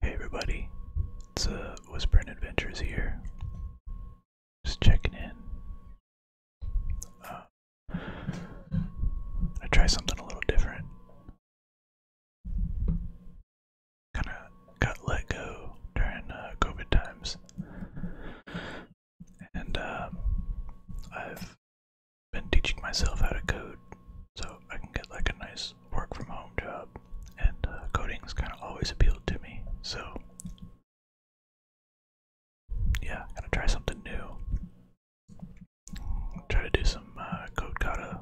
Hey everybody, it's uh, Whispering Adventures here. Just checking in. Uh, I try something a little different. Kind of got let go during uh, COVID times, and um, I've been teaching myself how to code so I can get like a nice work from home job, and uh, coding has kind of always appealed to me. So yeah, I'm gonna try something new. Try to do some uh, code kata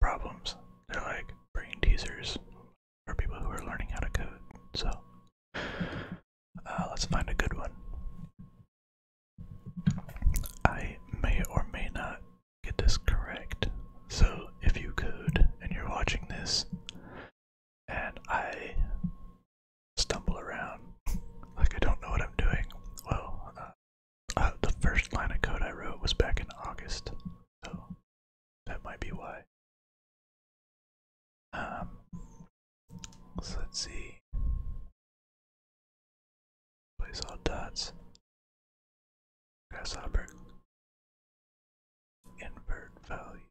problems. They're like brain teasers for people who are learning how to code. So uh, let's find a good one. I may or may not get this correct. So if you could, and you're watching this, and I stumble around like I don't know what I'm doing, well, uh, uh the first line of code I wrote was back in August, so that might be why. Um, so let's see. Place all dots. Grasshopper. Invert values.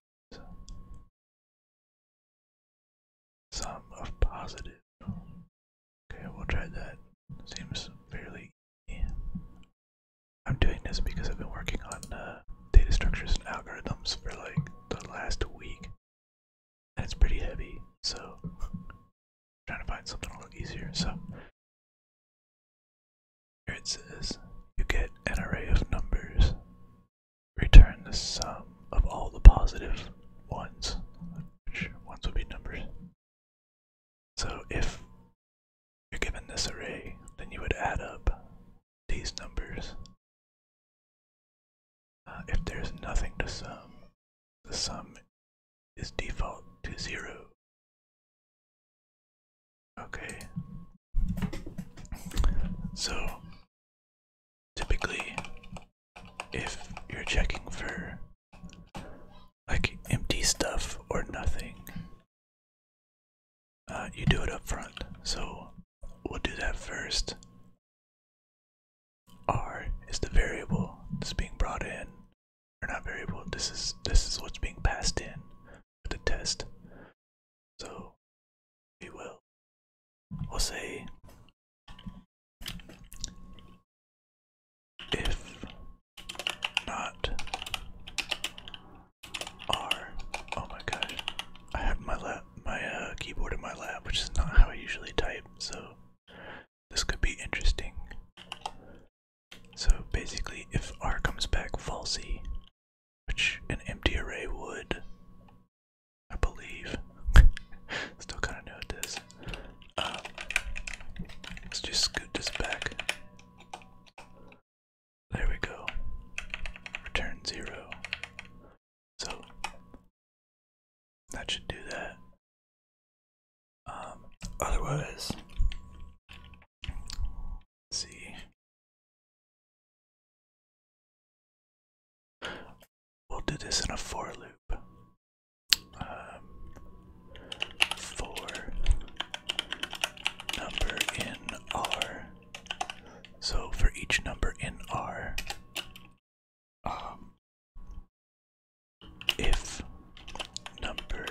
Sum of positive. Okay, we'll try that. Seems fairly I'm doing this because I've been working on uh, data structures and algorithms for like the last week and it's pretty heavy, so I'm trying to find something a little easier. So here it says you get an array of numbers. Return the sum of all the positive ones, which ones would be numbers. So if you're given this array, then you would add up these numbers uh, if there's nothing to sum, the sum is default to zero. Okay. So, typically, if you're checking for like empty stuff or nothing, uh, you do it up front. So, We'll do that first. R is the variable that's being brought in. Or not variable, this is this is what's being passed in for the test. So we will we'll say if not R oh my gosh. I have my my uh, keyboard in my lap, which is not how I usually type, so this could be interesting. So basically, if R comes back falsy, which an empty array would, I believe. Still kind of know it is. Um, let's just scoot this back. There we go. Return zero. So that should do that. Um, otherwise, let's see. We'll do this in a for loop. Um, for number in R. So for each number in R, um, if number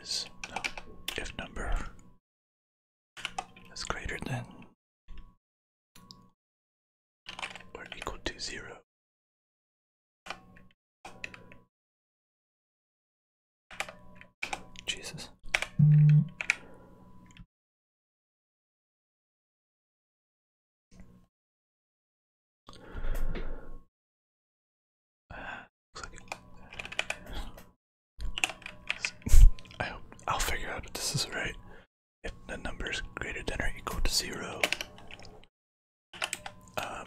is if number is greater than or equal to zero Jesus. I hope I'll figure out if this is right. If the number is greater than or equal to zero, um,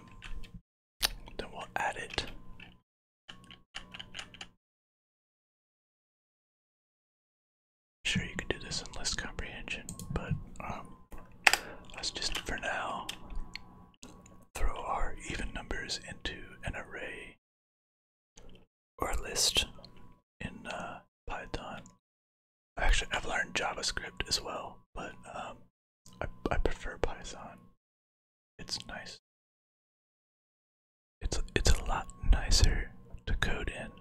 then we'll add it. Sure, you can do this in list comprehension, but um, let's just for now throw our even numbers into an array or a list in uh, Python. Actually, I've learned JavaScript as well, but um, I, prefer Python. It's nice. It's it's a lot nicer to code in.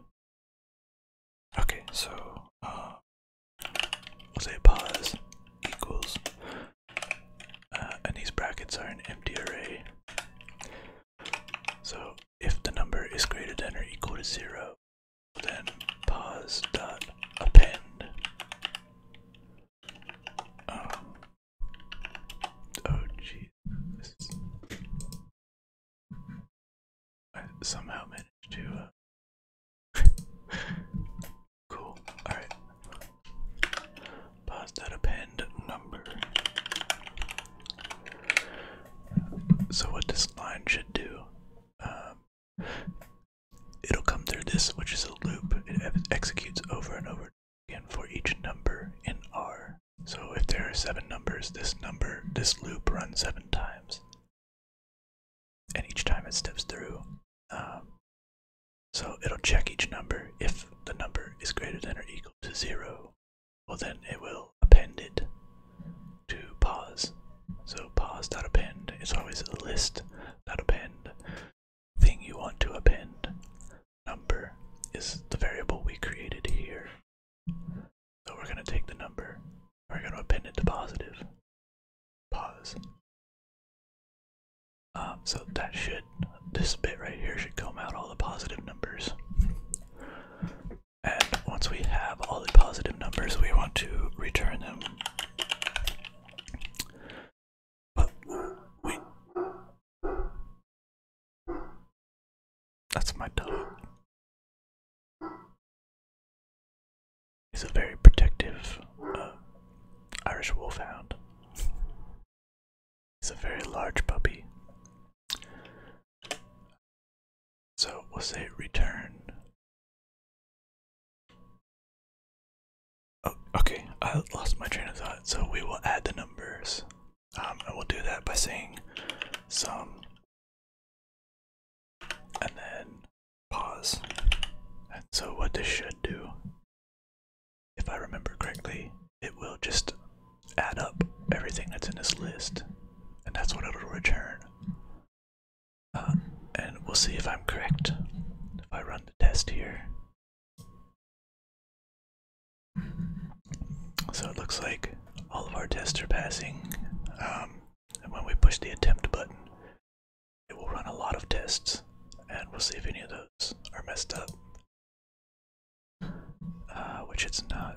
Okay, so uh, let's say pause equals, uh, and these brackets are an empty array. So if the number is greater than or equal to zero, then pause dot append um, oh, oh, jeez. somehow managed to. Uh, cool. All right. Pause that append number. So what this line should do um, It'll come through this, which is a loop. It executes over and over again for each number in R. So if there are seven numbers, this number, this loop runs seven times. And each time it steps through. Um, so it'll check each number. If the number is greater than or equal to zero, well then it will append it to pause. So pause. append. is always a list. append thing you want to append. Number is the variable we created here. So we're going to take the number, we're going to append it to positive. Pause. Um, so that should, this bit right here should come out all the positive numbers. And once we have all the positive numbers, we want to return them. But wait. That's my dog. He's a very protective uh, Irish wolfhound. He's a very large puppy. So we'll say return Oh, okay, I lost my train of thought, so we will add the numbers. Um, and we'll do that by saying sum and then pause. And so, what this should do, if I remember correctly, it will just add up everything that's in this list, and that's what it'll return. Um, and we'll see if I'm correct if I run the test here. So it looks like all of our tests are passing. Um, and when we push the attempt button, it will run a lot of tests, and we'll see if any of those are messed up. Uh, which it's not.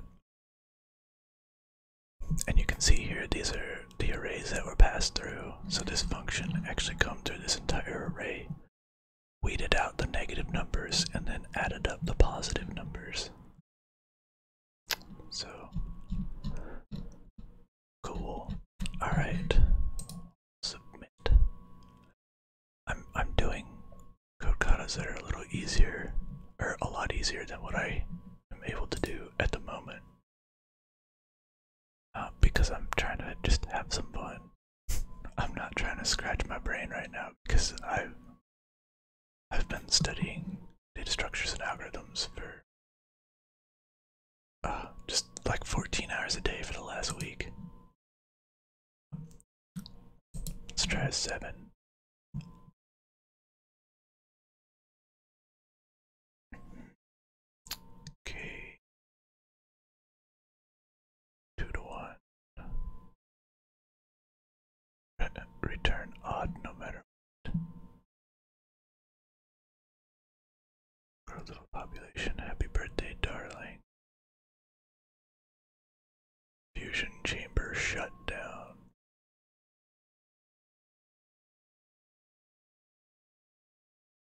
And you can see here these are the arrays that were passed through. So this function actually come through this entire array, weeded out the negative numbers, and then added up the positive numbers. So cool. Alright. Submit. I'm I'm doing code that are a little easier or a lot easier than what I am able to do at the moment um, because I'm trying to just have some fun. I'm not trying to scratch my brain right now because I've I've been studying data structures and algorithms for uh, just like 14 hours a day for the last week. Let's try a seven. Okay. Two to one. Uh, return odd no matter what. little population. Happy birthday, darling. Fusion chamber shut down.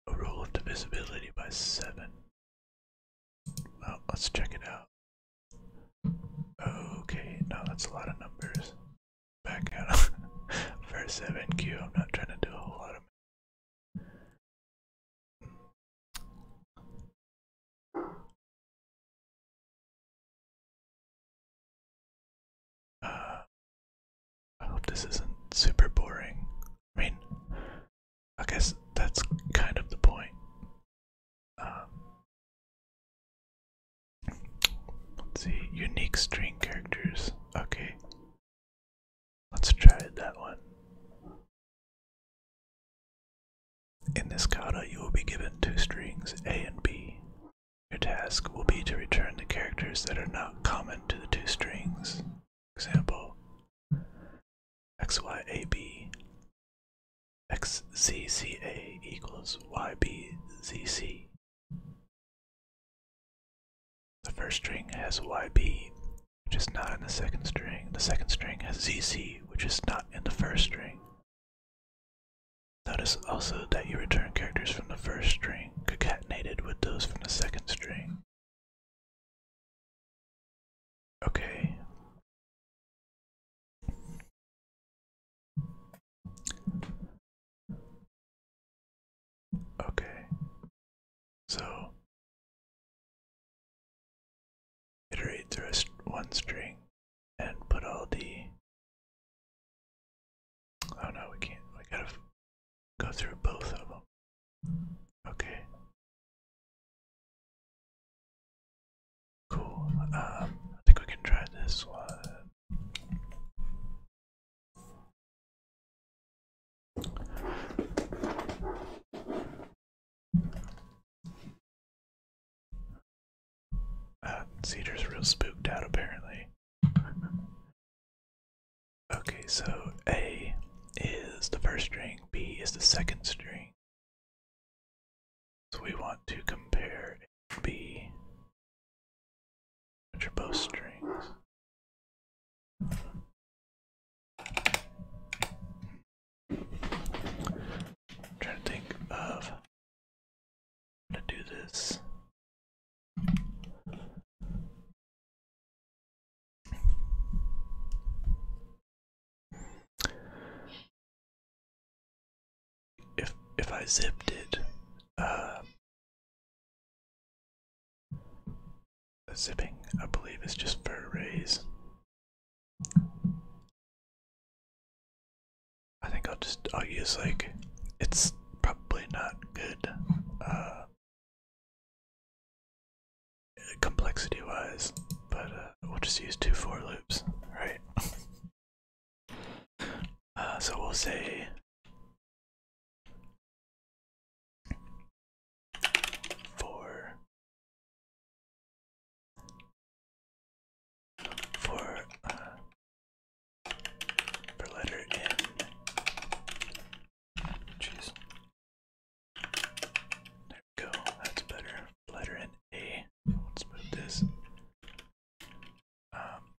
A rule of divisibility by seven. let's check it out. Okay, no, that's a lot of numbers. Back out for 7Q, I'm not trying to do a whole lot of uh, I hope this isn't super boring. I mean, I guess that's kind of the point. Um, let's see, unique string characters. Okay, let's try that one. In this kata, you will be given two strings, A and B. Your task will be to return the characters that are not common to the two strings. Example XYAB equals YBZC. The first string has YB, which is not in the second string. The second string has ZC, which is not in the first string. Notice also that you return characters from the first string concatenated with those from the second string. Okay. Okay. So iterate through one string and put all the. Oh no, we can't. We gotta go through both of them. Okay. Cool. Um, I think we can try this one. Uh, Cedar's real spooked out, apparently. okay, so A is the first string, B is the second string. So we want to compare B, which are both strings. trying to think of to do this. If if I zipped it, uh, zipping I believe is just for rays. I think I'll just I'll use like it's probably not good uh complexity wise, but uh, we'll just use two for loops, right? uh, so we'll say for for uh, letter N. Jeez. There we go. That's better. Letter N A. Let's move this. Um,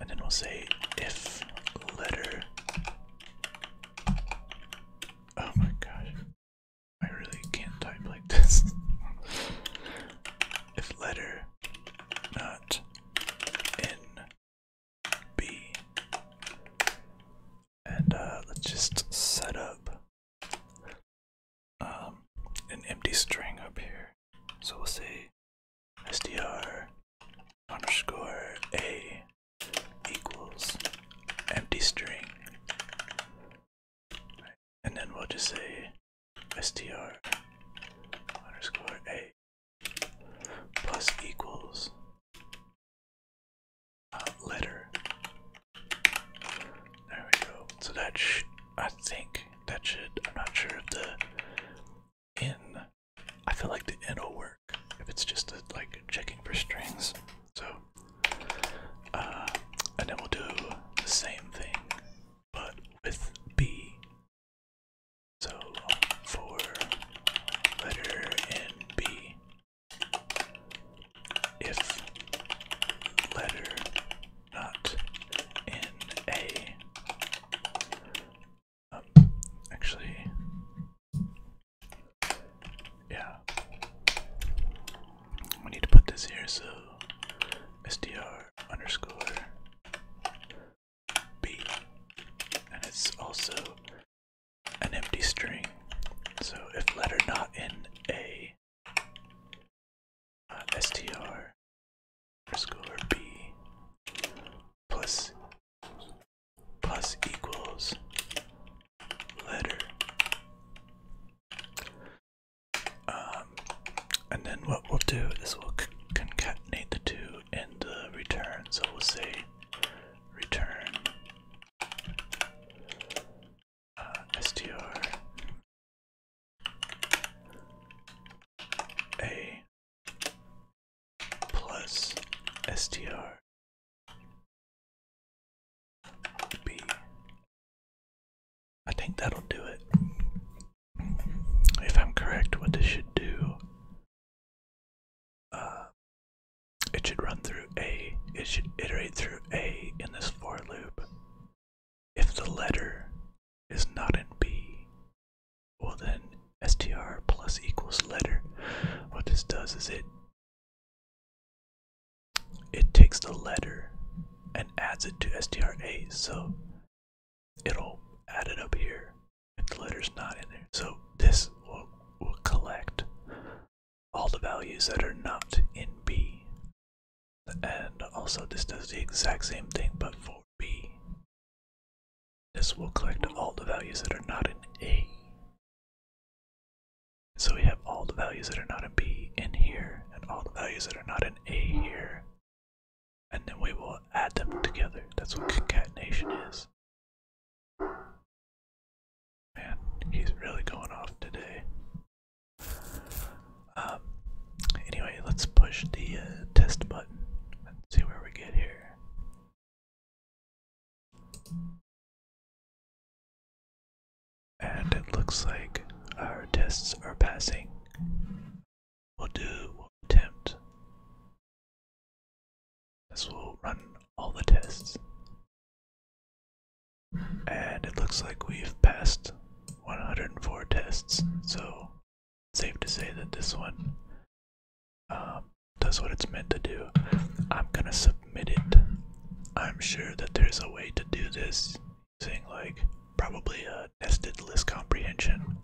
and then we'll say if letter. Oh my gosh. I really can't type like this. if letter not in B. And uh, let's just set up um, an empty string up here. So we'll say S D R underscore a equals empty string and then we'll just say str underscore a plus equals uh, letter. There we go. So that sh I think that should. I'm not sure if the in. I feel like the in will work if it's just a, like checking for strings. So uh, and then we'll do the same thing, but with B. So for letter in B, if letter not in A, um, actually, yeah, we need to put this here, so SDR underscore B. And it's also an empty string. So if letter not in A, uh, STR underscore B plus plus equals letter um, and then what we'll do is we'll concatenate the two and return. So we'll say return uh, str a plus str B. I think that'll do it. If I'm correct, what this should do, uh, it should run through A, it should iterate through A in this for loop. If the letter is not in B, well then str plus equals letter. What this does is it it takes the letter and adds it to STRA, so it'll add it up here if the letter's not in there. So this will, will collect all the values that are not in B. And also this does the exact same thing but for B. This will collect all the values that are not in A. So we have all the values that are not in B in here, and all the values that are not in A here. And then we will add them together. That's what concatenation is. Man, he's really going off today. Um, anyway, let's push the uh, test button and see where we get here. And it looks like our tests are passing. We'll do we'll attempt. This will run all the tests. And it looks like we've passed 104 tests, so safe to say that this one um, does what it's meant to do. I'm gonna submit submit it. I'm sure that there's a way to do this using like probably a nested list comprehension.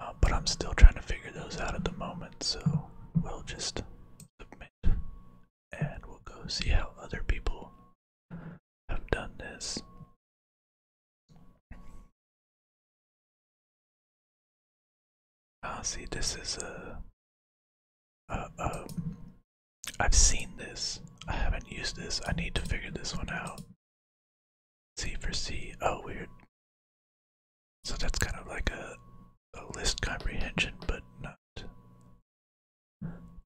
Uh, but I'm still trying to figure those out at the moment, so we'll just submit and we'll go see how other people have done this. Ah, see, this is a. have um, seen this. I haven't used this. I need to figure this one out. C for C. Oh, weird. So that's kind of like a, a list comprehension, but not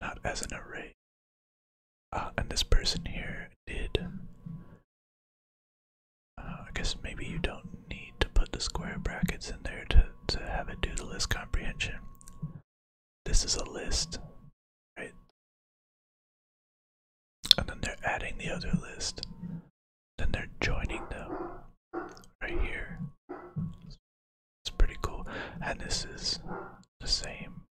not as an array. Uh, and this person here did. Uh, I guess maybe you don't need to put the square brackets in there to to have it do the list comprehension. This is a list, right? And then they're adding the other list. Then they're joining them right here. It's pretty cool. And this is the same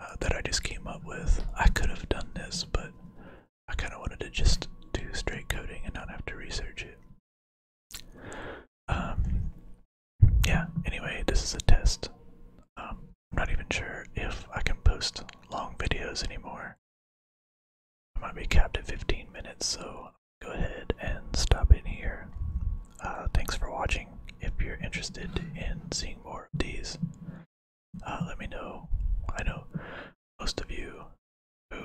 uh, that I just came up with. I could have done this, but I kind of wanted to just do straight coding and not have to research it. Um, yeah, anyway, this is a test. Um, I'm not even sure if I can post long videos anymore. I might be capped at 15 minutes, so go ahead and stop in here. Uh, thanks for watching. If you're interested in seeing more of these, uh, let me know. I know most of you who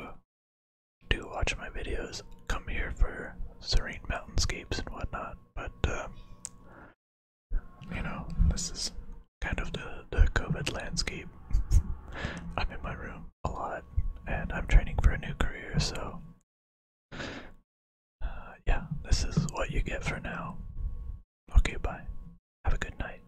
do watch my videos come here for serene mountainscapes and whatnot, but uh, you know, this is kind of the, the COVID landscape. I'm in my room a lot and I'm training for a new career, so uh, yeah, this is what you get for now. Okay, bye. Have a good night.